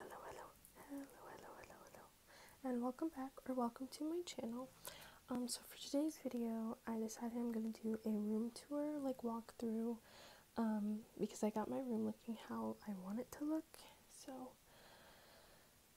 Hello, hello, hello, hello, hello, and welcome back or welcome to my channel. Um, so for today's video, I decided I'm gonna do a room tour, like walk through, um, because I got my room looking how I want it to look. So,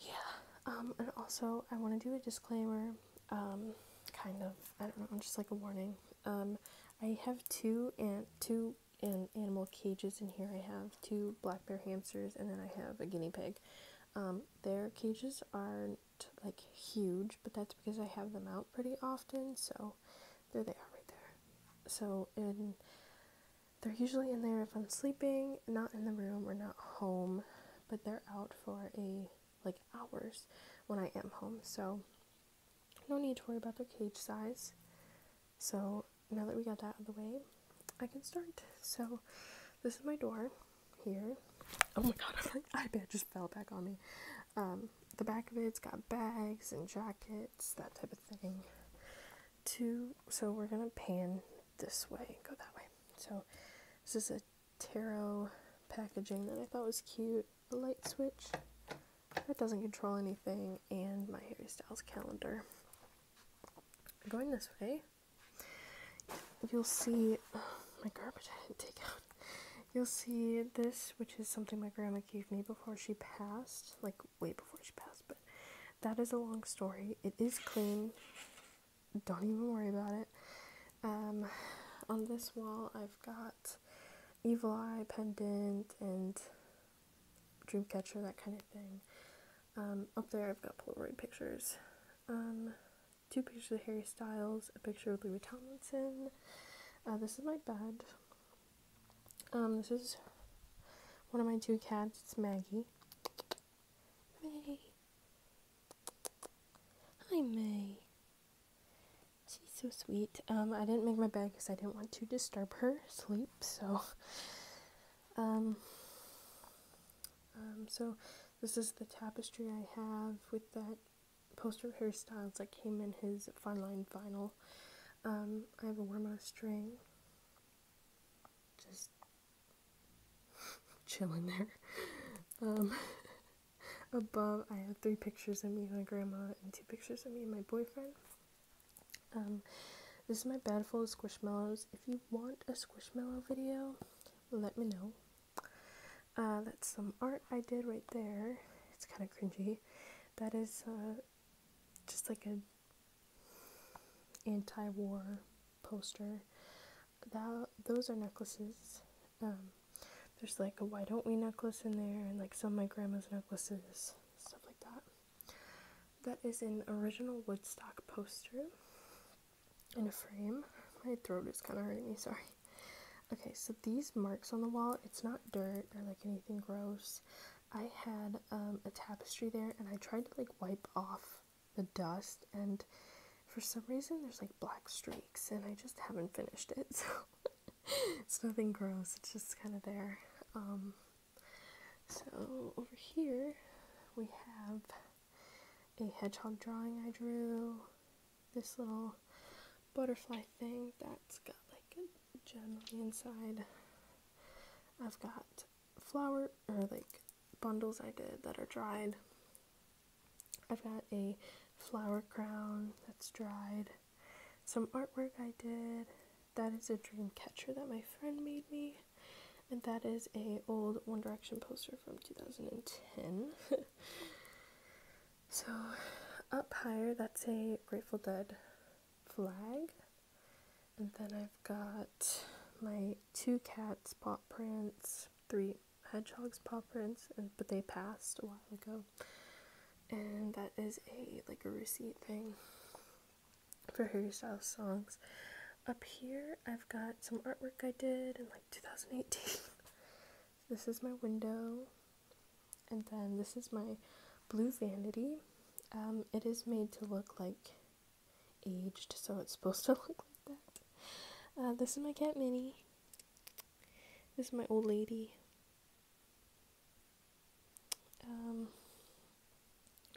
yeah. Um, and also I want to do a disclaimer, um, kind of. I don't know. Just like a warning. Um, I have two and two and animal cages in here. I have two black bear hamsters, and then I have a guinea pig. Um, their cages aren't like huge, but that's because I have them out pretty often. So there they are right there. So and they're usually in there if I'm sleeping, not in the room or not home, but they're out for a like hours when I am home. So no need to worry about their cage size. So now that we got that out of the way, I can start. So, this is my door here. Oh my god, my iPad just fell back on me. Um, the back of it's got bags and jackets, that type of thing. Two, so we're gonna pan this way, go that way. So, this is a tarot packaging that I thought was cute. A light switch, that doesn't control anything, and my Harry Styles calendar. Going this way, you'll see my garbage I take out. You'll see this, which is something my grandma gave me before she passed, like way before she passed, but that is a long story. It is clean. Don't even worry about it. Um, on this wall, I've got Evil Eye pendant and Dreamcatcher, that kind of thing. Um, up there, I've got Polaroid pictures. Um, two pictures of Harry Styles, a picture of Louis Tomlinson. Uh, this is my bed. Um, this is one of my two cats. It's Maggie. May. Hi, May. She's so sweet. Um, I didn't make my bed because I didn't want to disturb her sleep. So, um, um, so this is the tapestry I have with that poster of hairstyles that came in his fine line vinyl. Um, I have a worm on a string. Just chilling there. Um, above, I have three pictures of me and my grandma and two pictures of me and my boyfriend. Um, this is my bag full of squishmallows. If you want a squishmallow video, let me know. Uh, that's some art I did right there. It's kind of cringy. That is uh, just like a anti-war poster. That those are necklaces. Um, there's like a why don't we necklace in there, and like some of my grandma's necklaces stuff like that. That is an original Woodstock poster in a frame. My throat is kind of hurting me, sorry. Okay, so these marks on the wall, it's not dirt or like anything gross. I had um, a tapestry there and I tried to like wipe off the dust and for some reason there's like black streaks and I just haven't finished it. So it's nothing gross, it's just kind of there. Um, so over here we have a hedgehog drawing I drew, this little butterfly thing that's got like a gem on the inside. I've got flower or like bundles I did that are dried. I've got a flower crown that's dried some artwork I did. That is a dream catcher that my friend made me. And that is a old One Direction poster from 2010. so up higher, that's a Grateful Dead flag. And then I've got my two cats' paw prints, three hedgehogs' paw prints, and, but they passed a while ago and that is a like a receipt thing for Harry Styles songs. Up here I've got some artwork I did in like 2018. this is my window and then this is my blue vanity. Um, it is made to look like aged so it's supposed to look like that. Uh, this is my cat Minnie. This is my old lady. Um,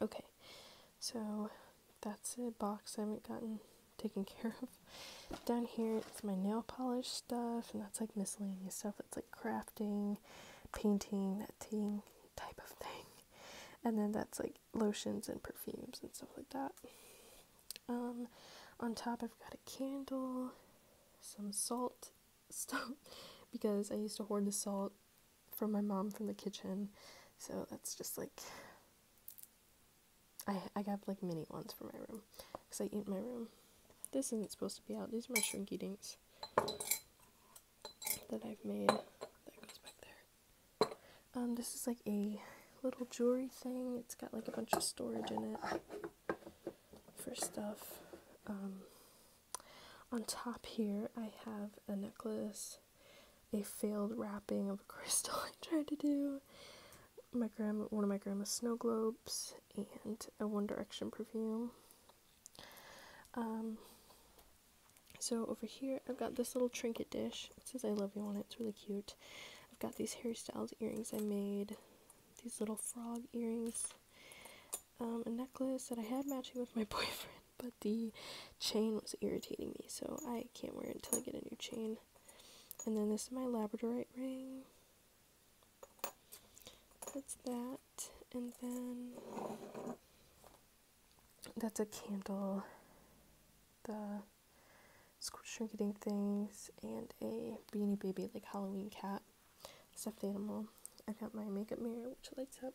okay, so that's a box I haven't gotten taken care of. Down here it's my nail polish stuff, and that's like miscellaneous stuff. That's like crafting, painting, that thing, type of thing. And then that's like lotions and perfumes and stuff like that. Um, on top, I've got a candle, some salt, stuff because I used to hoard the salt from my mom from the kitchen. So that's just like I I got like mini ones for my room because I eat in my room. This isn't supposed to be out. These are my shrinky dinks that I've made. That goes back there. Um, this is like a little jewelry thing. It's got like a bunch of storage in it for stuff. Um, on top here, I have a necklace, a failed wrapping of a crystal I tried to do, my grandma, one of my grandma's snow globes, and a One Direction perfume. Um, so over here, I've got this little trinket dish. It says I love you on it. It's really cute. I've got these Harry Styles earrings I made these little frog earrings, um, a necklace that I had matching with my boyfriend, but the chain was irritating me, so I can't wear it until I get a new chain. And then this is my labradorite ring. That's that. And then that's a candle, the shrinking things, and a Beanie Baby like Halloween cat stuffed animal. I got my makeup mirror which lights up.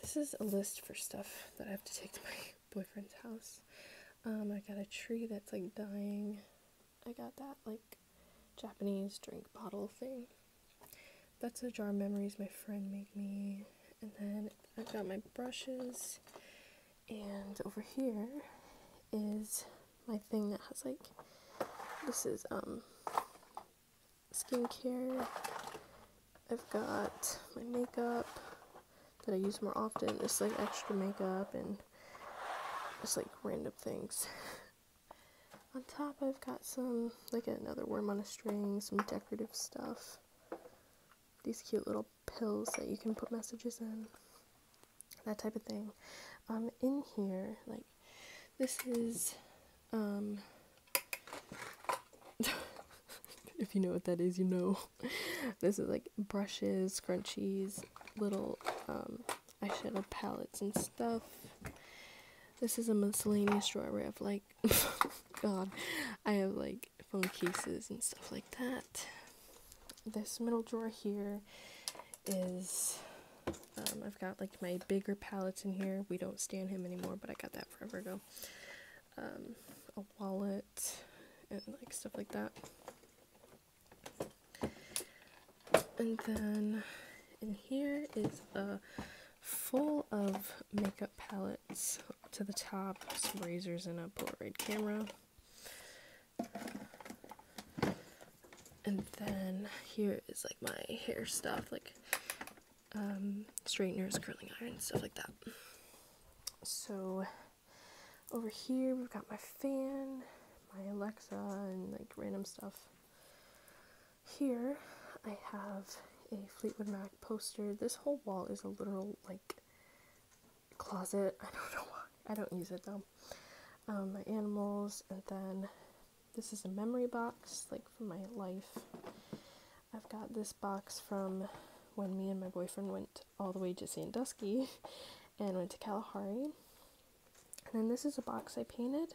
This is a list for stuff that I have to take to my boyfriend's house. Um, I got a tree that's like dying. I got that like Japanese drink bottle thing. That's a jar of memories my friend made me. And then I have got my brushes and over here is my thing that has like this is um skincare. I've got my makeup that I use more often. It's like extra makeup and just like random things. on top I've got some like another worm on a string, some decorative stuff. These cute little pills that you can put messages in, that type of thing. Um, in here, like, this is, um, if you know what that is, you know. this is like brushes, scrunchies, little, um, eyeshadow palettes and stuff. This is a miscellaneous drawer where I have like, god, I have like phone cases and stuff like that. This middle drawer here is um, I've got like my bigger palettes in here. We don't stand him anymore, but I got that forever ago. Um, a wallet and like stuff like that. And then in here is a full of makeup palettes to the top, some razors and a Polaroid camera. And then here is like my hair stuff, like um, straighteners, curling iron, stuff like that. So over here we've got my fan, my Alexa, and like random stuff. Here I have a Fleetwood Mac poster. This whole wall is a literal like closet. I don't know why. I don't use it though. Um, my animals, and then this is a memory box, like for my life. I've got this box from when me and my boyfriend went all the way to Sandusky and went to Kalahari. And then this is a box I painted.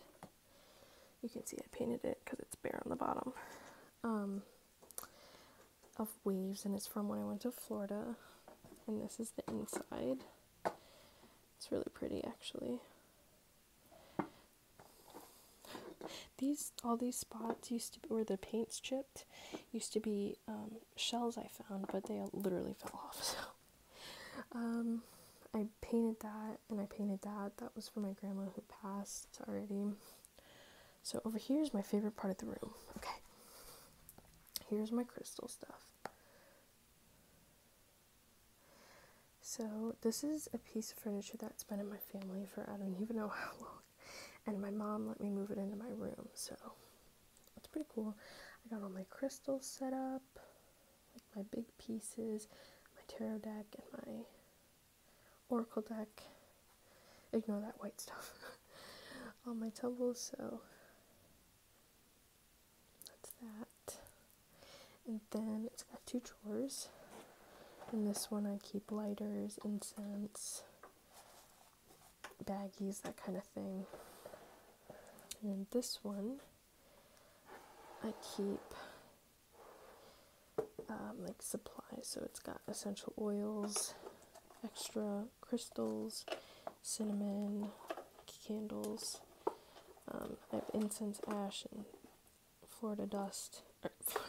You can see I painted it because it's bare on the bottom. Um, of waves, and it's from when I went to Florida. And this is the inside. It's really pretty, actually. These all these spots used to where the paint's chipped, used to be um, shells I found, but they literally fell off. So, um, I painted that, and I painted that. That was for my grandma who passed already. So over here is my favorite part of the room. Okay. Here's my crystal stuff. So this is a piece of furniture that's been in my family for I don't even know how long. And my mom let me move it into my room. So that's pretty cool. I got all my crystals set up, like my big pieces, my tarot deck and my Oracle deck. Ignore that white stuff on my tumble, so that's that. And then it's got two drawers. In this one, I keep lighters, incense, baggies, that kind of thing. And this one, I keep um, like supplies. So it's got essential oils, extra crystals, cinnamon, candles. Um, I have incense ash and Florida dust, or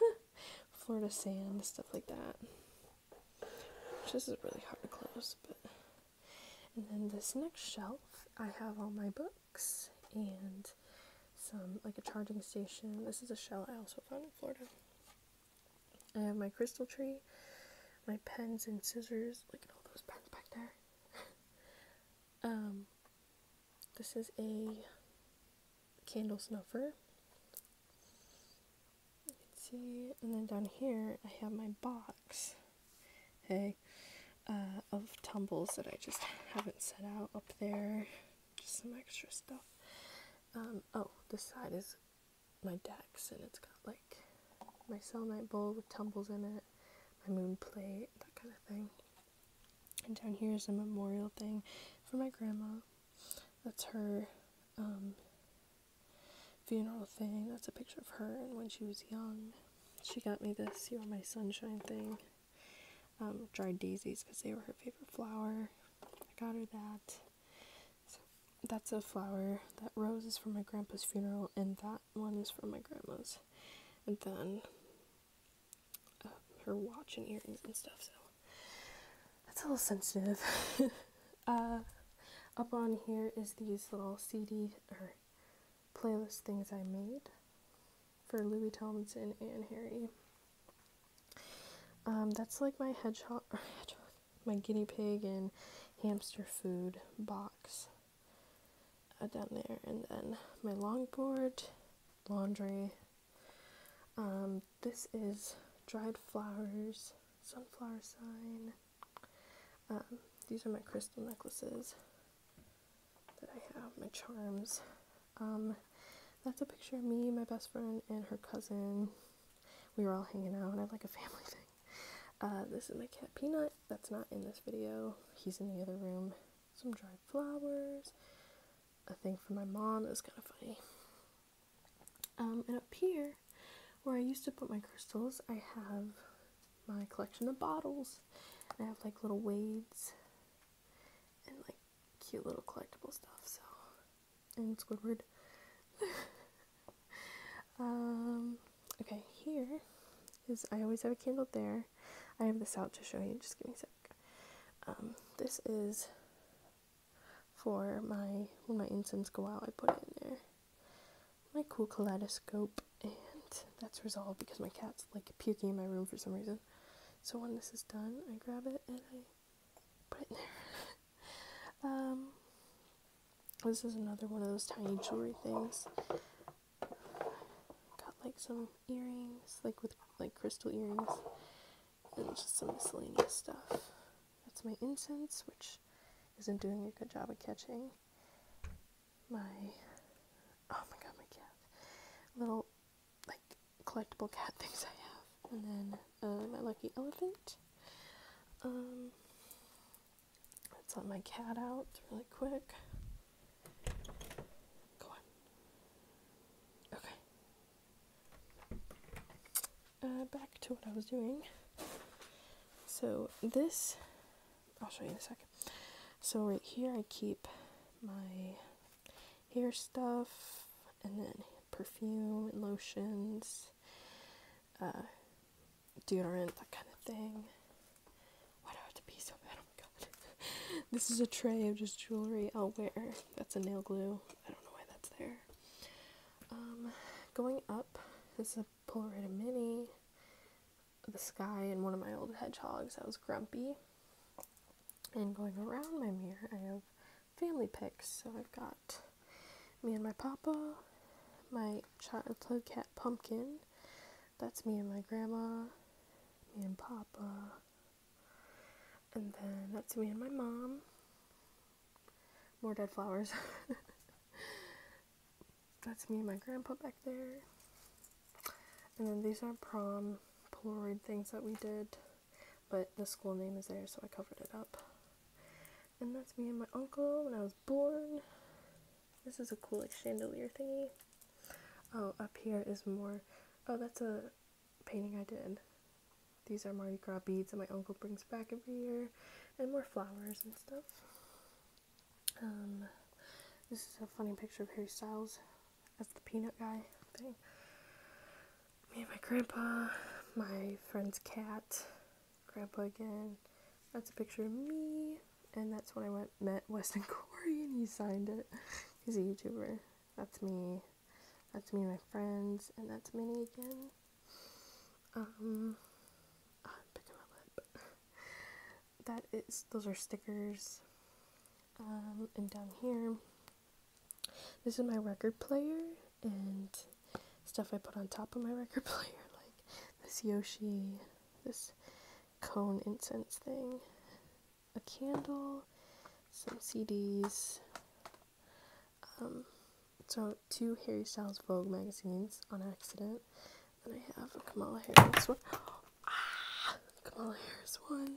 Florida sand, stuff like that. Which this is really hard to close, but. And then this next shelf, I have all my books and some like a charging station. This is a shell I also found in Florida. I have my crystal tree, my pens and scissors. Look at all those pens back there. um, this is a candle snuffer. You can see, and then down here I have my box. Hey. Uh, of tumbles that I just haven't set out up there. Just some extra stuff. Um, oh, this side is my decks, and it's got like my selenite bowl with tumbles in it, my moon plate, that kind of thing. And down here is a memorial thing for my grandma. That's her um, funeral thing. That's a picture of her and when she was young. She got me this You're My Sunshine thing. Um, dried daisies because they were her favorite flower. I got her that. that's a flower. That rose is from my grandpa's funeral, and that one is from my grandma's. And then uh, her watch and earrings and stuff. So that's a little sensitive. Uh, up on here is these little CD or playlist things I made for Louis Tomlinson and Harry. Um, that's like my hedgehog, my guinea pig and hamster food box uh, down there, and then my longboard, laundry. Um, this is dried flowers, sunflower sign. Um, these are my crystal necklaces that I have, my charms, um, that's a picture of me, my best friend, and her cousin. We were all hanging out, and I have like a family thing. Uh, this is my cat Peanut. That's not in this video. He's in the other room. Some dried flowers. A thing for my mom. That's kind of funny. Um, and up here, where I used to put my crystals, I have my collection of bottles. I have like little wades and like cute little collectible stuff, so and Squidward. um okay, here is I always have a candle there. I have this out to show you, just give me a sec. Um, this is for my when my incense go out, I put it in there. My cool kaleidoscope and that's resolved because my cat's like puking in my room for some reason. So when this is done, I grab it and I put it in there. um, this is another one of those tiny jewelry things. Got like some earrings, like with like crystal earrings, and just some miscellaneous stuff. That's my incense, which isn't doing a good job of catching. My oh my god, my cat! Little like collectible cat things I have, and then uh, my lucky elephant. Um, let's let my cat out really quick. Go on. Okay. Uh, back to what I was doing. So this, I'll show you in a second. So right here I keep my hair stuff, and then perfume, lotions, uh, deodorant, that kind of thing. Why do I have to be so bad? Oh my god. this is a tray of just jewelry I'll wear. That's a nail glue. I don't know why that's there. Um, going up is a Polaroid Mini, the sky, and one of my old hedgehogs. I was grumpy. And going around my mirror, I have family pics. So I've got me and my papa, my childhood cat Pumpkin. That's me and my grandma, me and papa. And then that's me and my mom. More dead flowers. that's me and my grandpa back there. And then these are prom Polaroid things that we did, but the school name is there, so I covered it up. And that's me and my uncle when I was born. This is a cool like chandelier thingy. Oh, up here is more. Oh, that's a painting I did. These are Mardi Gras beads that my uncle brings back every year, and more flowers and stuff. Um, this is a funny picture of Harry Styles that's the peanut guy thing. Me and my grandpa, my friend's cat, grandpa again. That's a picture of me, and that's when I went met Weston Corey, and he signed it. He's a YouTuber. That's me. That's me and my friends, and that's Minnie again. Um, I'm picking my lip that is those are stickers. Um, and down here, this is my record player and stuff I put on top of my record player, like this Yoshi, this cone incense thing, a candle, some CDs. Um, so two Harry Styles Vogue magazines on accident. And I have a Kamala Harris one. Ah, Kamala Harris one.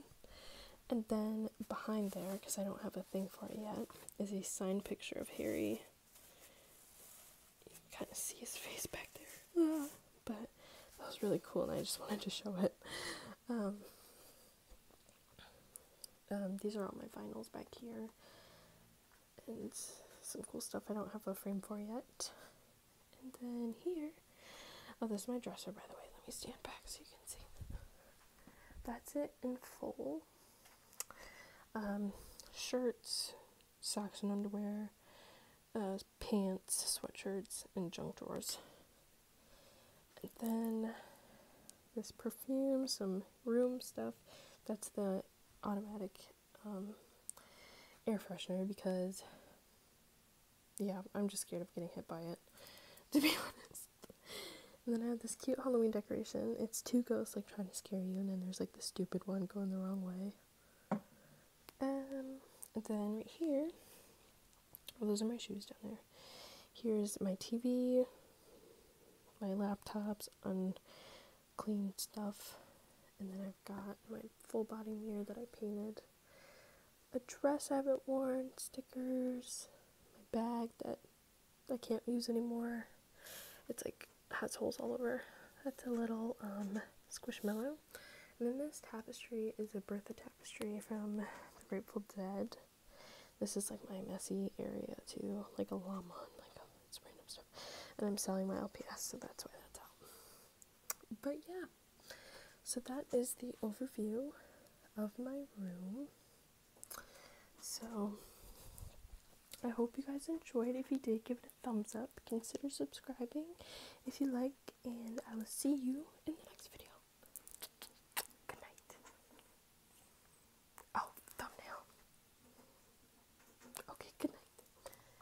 And then behind there, because I don't have a thing for it yet, is a signed picture of Harry. You can kind of see his face back there. Ah, but that was really cool, and I just wanted to show it. Um, um, these are all my vinyls back here. And some cool stuff I don't have a frame for yet. And then here, oh, this is my dresser, by the way. Let me stand back so you can see. That's it in full. Um, shirts, socks and underwear, uh, pants, sweatshirts, and junk drawers. And then this perfume, some room stuff. That's the automatic um, air freshener because yeah, I'm just scared of getting hit by it, to be honest. And then I have this cute Halloween decoration. It's two ghosts like trying to scare you, and then there's like the stupid one going the wrong way. Um, and then right here, well, those are my shoes down there. Here's my TV, my laptops, unclean stuff, and then I've got my full body mirror that I painted a dress I haven't worn, stickers, my bag that I can't use anymore. It's like has holes all over. That's a little um, squishmallow. And then this tapestry is a Bertha tapestry from The Grateful Dead. This is like my messy area too, like a llama and like all random stuff. And I'm selling my LPS, so that's why that's out but yeah, so that is the overview of my room. So I hope you guys enjoyed. If you did, give it a thumbs up. Consider subscribing if you like, and I will see you in the next video. Oh, thumbnail. Okay, good night.